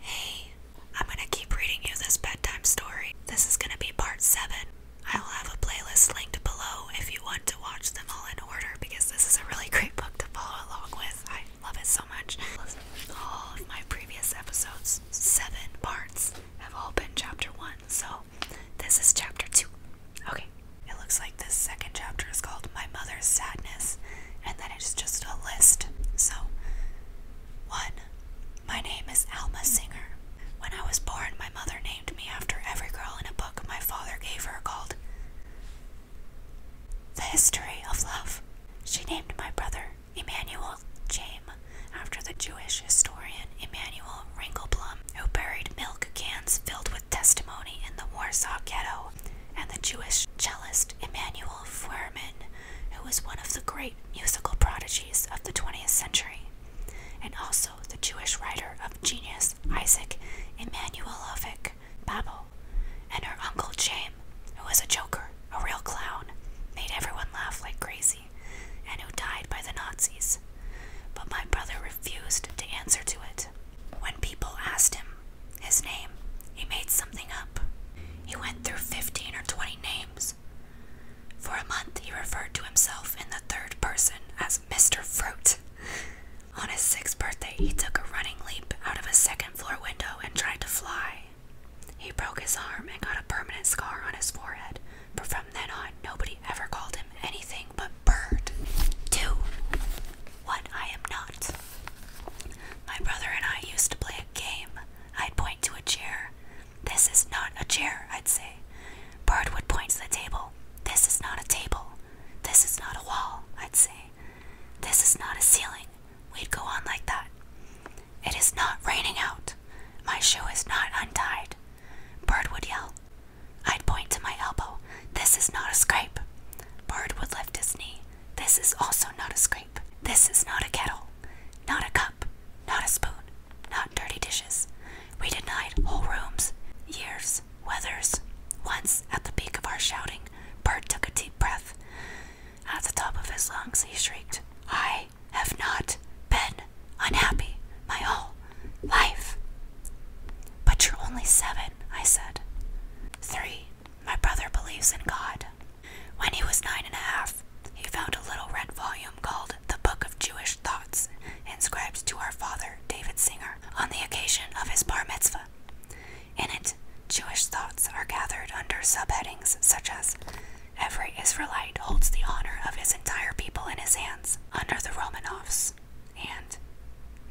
Hey, I'm gonna keep reading you this bedtime story. This is gonna be part 7. I will have a playlist linked below if you want to watch them all in order because this is a really great book to follow along with. I love it so much. All of my previous episodes, seven parts, have all been chapter 1, so this is chapter 2. Okay, it looks like this second chapter is called My Mother's Sadness and then it's just a list. So, one, my name is Alma Singer. When I was born, my mother named me after every girl in a book my father gave her called The History of Love. She named my brother Emmanuel James after the Jewish historian Emmanuel Ringelblum, who buried milk cans filled with testimony in the Warsaw Ghetto and the Jewish cellist Emanuel Fuhrman, who was one of the great musical prodigies of the 20th century, and also the Jewish writer of genius Isaac Emanuelovich Babel, and her uncle James, who was a joker, a real clown, made everyone laugh like crazy, and who died by the Nazis. But my brother refused to answer to it. When people asked him his name. He made something up. He went through 15 or 20 names. For a month, he referred to himself in the third person as Mr. Fruit. On his sixth birthday, he took a running leap out of a second floor window and tried to fly. He broke his arm and got a permanent scar on his forehead, but from then on, nobody ever called him anything but Bird. 2. What I am not. My brother and I used to play a game. I'd point to a chair. This is not a chair, I'd say. Bird would point to the table. This is not a table. This is not a wall, I'd say. This is not a ceiling. We'd go on like that. It is not raining out. My shoe is not untied. Bird would yell. I'd point to my elbow. This is not a scrape. Bird would lift his knee. This is also not a scrape. This is not a kettle, not a cup, not a spoon, not dirty dishes. We denied whole rooms, years, weathers. Once, at the peak of our shouting, Bert took a deep breath. At the top of his lungs, he shrieked, I have not been unhappy my whole life. But you're only seven, I said. Three my brother believes in God. When he was nine and a half, he found a little red volume called The Book of Jewish Thoughts, inscribed to our father, David Singer, on the occasion of his bar mitzvah. In it, Jewish thoughts are gathered under subheadings such as Every Israelite holds the honor of his entire people in his hands under the Romanovs, and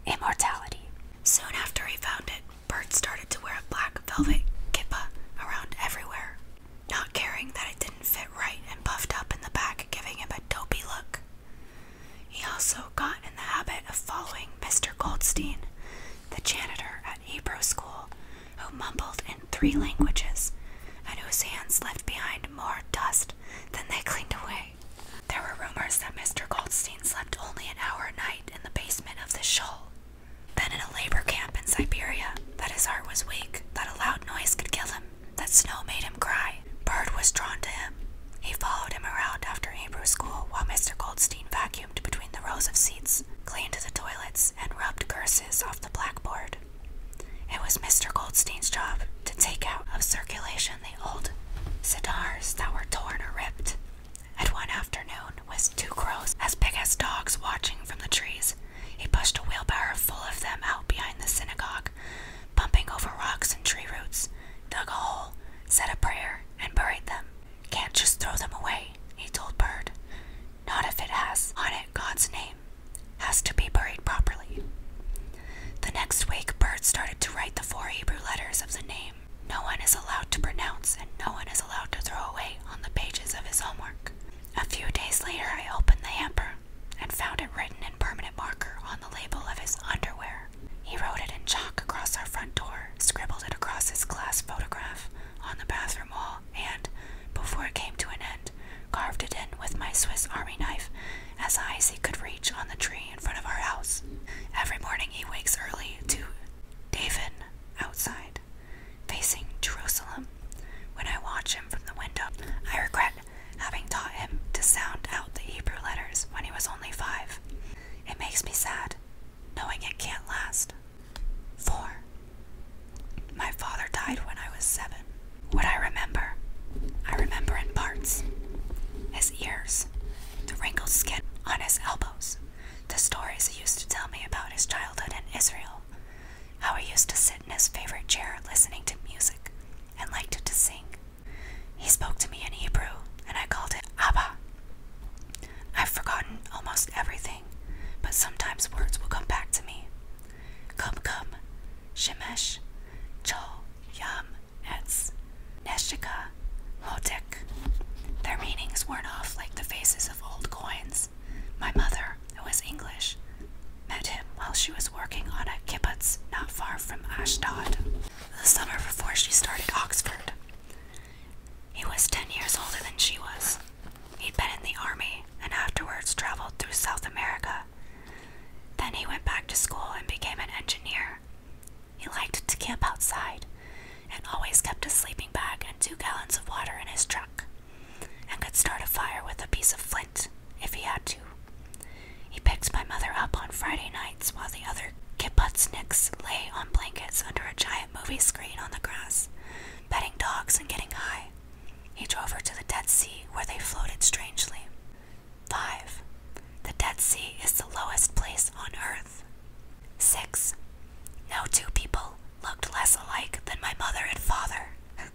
Immortality. Soon after he found it, Bert started to wear a black velvet kippa around everywhere, not caring that it didn't fit right and puffed up in the back, giving him a dopey look. He also got in the habit of following Mr. Goldstein, the janitor at Hebrew school, who mumbled in three languages and whose hands left behind more dust than they cleaned away. There were rumors that Mr. Goldstein slept only an hour a night in the basement of the shoal, then in a labor camp in Siberia, that his heart was weak, that a loud noise could kill him, that snow made him cry. Bird was drawn to him. He followed him around after Hebrew school while Mr. Goldstein vacuumed between the rows of seats, cleaned the toilets, and rubbed curses off the blackboard. It was Mr. Goldstein's job to take out of circulation the old cigars that were torn or ripped, at one afternoon, with two crows as big as dogs watching from the trees, he pushed a wheelbarrow full of them out behind the synagogue, bumping over rocks and tree roots, dug a hole, said a prayer, and buried them. Can't just throw them away, he told Bird. Not if it has on it God's name. Has to be buried properly. The next week, Bird started to write the four Hebrew letters of the name no one is allowed to pronounce and no one is allowed to throw away on the pages of his homework. A few days later, I opened the hamper and found it written in permanent marker on the label of his underwear. He wrote it in chalk across our front door, scribbled it across his class photograph on the bathroom wall, and, before it came to an end, carved it in with my Swiss Army knife as high as he could reach on the tree in front of our house. Every morning he wakes early to daven outside, facing Jerusalem. When I watch him from the window, I regret having taught him to sound out the Hebrew letters when he was only five. It makes me sad, knowing it can't last. 4. My father died when I was seven. What I remember, I remember in parts. His ears, the wrinkled skin on his elbows, the stories he used to tell me about his childhood in Israel, how he used to sit in his favorite chair listening to music and liked to sing. He spoke to me in Hebrew, and I called it Abba. I've forgotten almost everything, but sometimes words will come back to me. Come, come, Shemesh, Chol, Yam, nets, Neshika, Lotik. Their meanings worn off like the faces of old coins. My mother, who was English, met him while she was working on a kibbutz not far from Ashdod, the summer before she started Oxford. He was ten years older than she was. He'd been in the army and afterwards traveled through South America. Then he went back to school and became an engineer he liked to camp outside and always kept a sleeping bag and two gallons of water in his truck and could start a fire with a piece of flint if he had to. He picked my mother up on Friday nights while the other kiputzniks lay on blankets under a giant movie screen on the grass, betting dogs and getting high. He drove her to the Dead Sea where they floated strangely. 5. The Dead Sea is the lowest place on earth. 6. No two people looked less alike than my mother and father.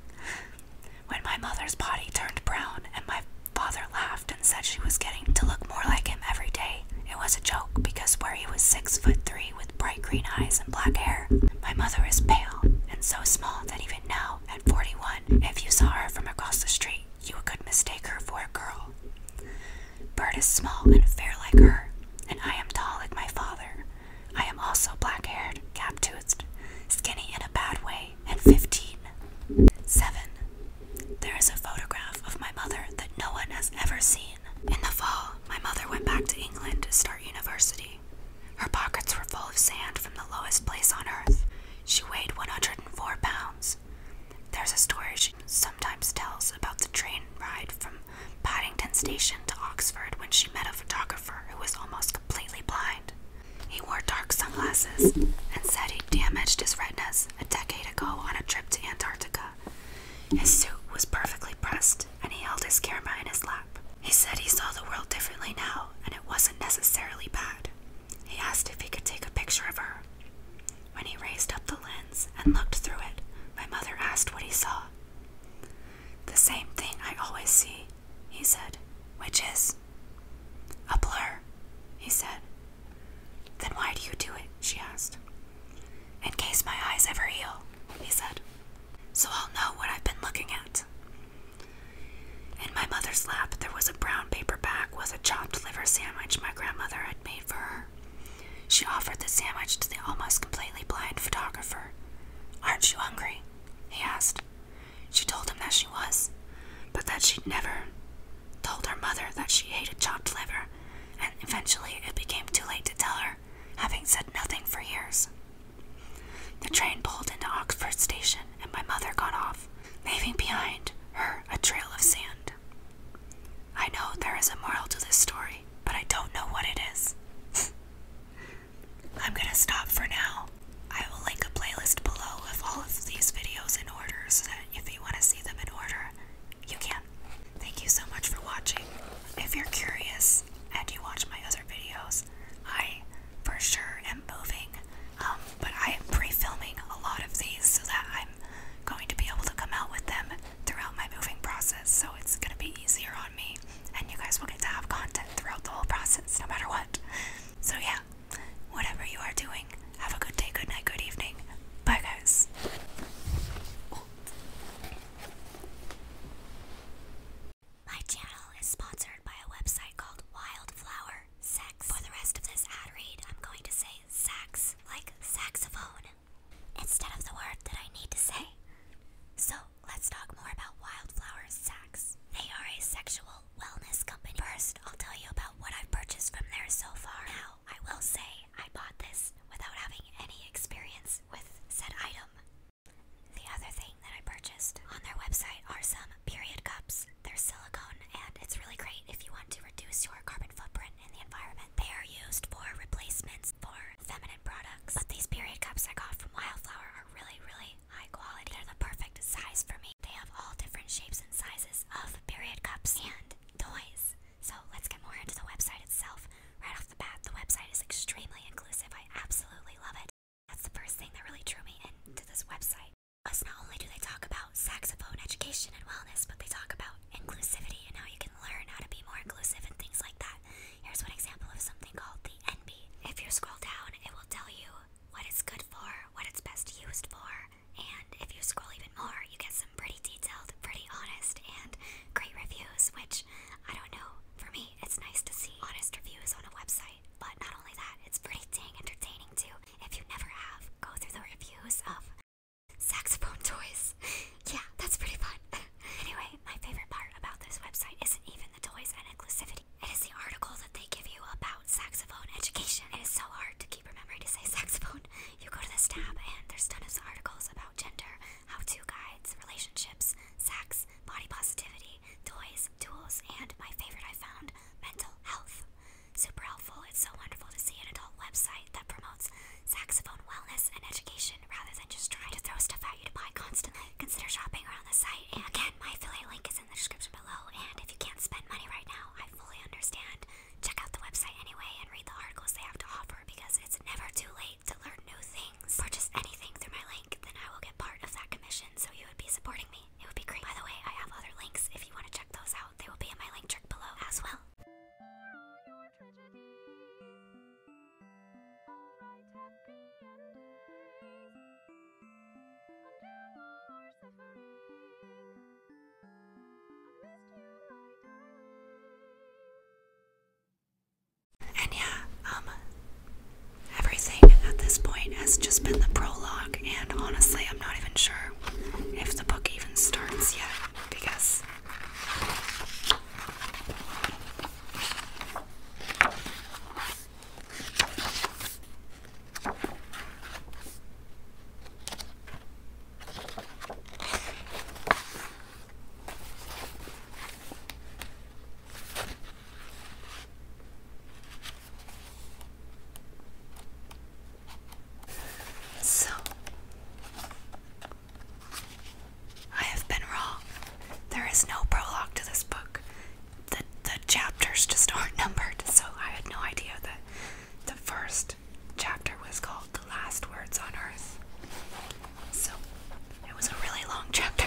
when my mother's body turned brown and my father laughed and said she was getting to look more like him every day, it was a joke because where he was 6 foot 3 with bright green eyes and black hair, my mother is pale and so small that even now, at 41, if you saw her from across the street, you could mistake her for a girl. Bert is small and fair like her, and I am tall like my father. I am also black haired, gap toothed, skinny in a bad way, and fifteen. Seven. There is a photograph of my mother that no one has ever seen. In the fall, my mother went back to England to start university. Her pockets were full of sand from the lowest place on earth. She weighed 104 pounds. There's a story she sometimes tells about the train ride from Paddington Station to Oxford when she met a photographer who was almost completely blind. He wore dark sunglasses and said he damaged his retinas a decade ago on a trip to Antarctica. His suit was perfectly pressed and he held his camera in his lap. He said he saw the world differently now and it wasn't necessarily bad. He asked if he could take a picture of her. When he raised up the lens and looked through it, my mother asked what he saw. The same thing I always see, he said, which is a blur, he said. Then why do you do it? she asked. In case my eyes ever heal, he said, so I'll know what I've been looking at. In my mother's lap, there was a brown paper bag with a chopped liver sandwich my grandmother had made for her. She offered the sandwich to the almost completely blind photographer. Aren't you hungry? he asked. She told him that she was, but that she'd never told her mother that she hated chopped liver, and eventually it became too late to tell her, having said nothing for years. The train pulled into Oxford Station, and my mother got off, leaving behind her a trail of sand. I know there is a moral to this story, but I don't know what it is. I'm gonna stop for now. I will link a playlist below of all of these videos in order so that if you want to see them in order, you can. Thank you so much for watching. If you're curious and you watch my other videos, I for sure am moving. Um, but I am pre-filming a lot of these so that I'm going to be able to come out with them throughout my moving process. So it's going to be easier on me, and you guys will get to have content throughout the whole process, no matter what. So yeah, whatever you are doing, have a good day, good night, good evening. Bye, guys. My channel is sponsored by a website called Wildflower sex. For the rest of this ad read, I'm going to say sax, like saxophone, instead of the word that I need to say. So let's talk more about Wildflower Sex. They are a sexual wellness company. First, I'll tell you about what I've purchased from there so far. Now, I will say I bought this without having any experience with said item. The other thing that I purchased on their website are some period cups. They're silicone and it's really great if you want to reduce your carbon footprint in the environment. They are used for replacements for feminine products. But these period cups I got from Wildflower are really, really high quality. They're the perfect size for me. They have all different shapes and sizes of period cups and toys. So let's get more into the website itself. Right off the bat, the website is extremely inclusive. I absolutely love it. That's the first thing that really drew me into this website. Plus, not only do they talk about saxophone education and wellness, but they talk about inclusivity and how you can learn how to be more inclusive and things like that. Here's one example of something called the NB. If you scroll down, it will tell you what it's good for, what it's best used for, and if you scroll even more, you get some pretty detailed, pretty honest, and great reviews, which I don't know. For me, it's nice to see honest reviews on a website. But not only that, it's pretty dang entertaining too. If you never have, go through the reviews of saxophone toys. yeah, that's pretty fun. anyway, my favorite part about this website isn't even the toys and inclusivity. It is the article that they give you about saxophone education. It is so hard to keep remembering to say saxophone. You go to this tab and there's tons of articles about gender, how-to guides, relationships, sex, body positivity, toys, tools, and my favorite I found, mental health. Super helpful. It's so wonderful to see an adult website that promotes saxophone wellness and education rather than just trying to throw stuff at you to buy constantly. Consider shopping around the site. And again, my affiliate link is in the description below. And if you can't spend money right now, I fully understand. Check out the website anyway and read the articles they have to offer because it's never too late to learn new things. Purchase anything through my link, then I will get part of that commission, so you would be supporting me it would be great. By the way, I have other links if you want to check those out. They will be in my link trick below as well. And yeah, um, Everything at this point has just been the prologue, and honestly, I'm not even sure if the book even starts yet because so, I have been wrong. There is no prologue to this book. The, the chapters just aren't numbered, so I had no idea that the first chapter was called The Last Words on Earth. So, it was a really long chapter.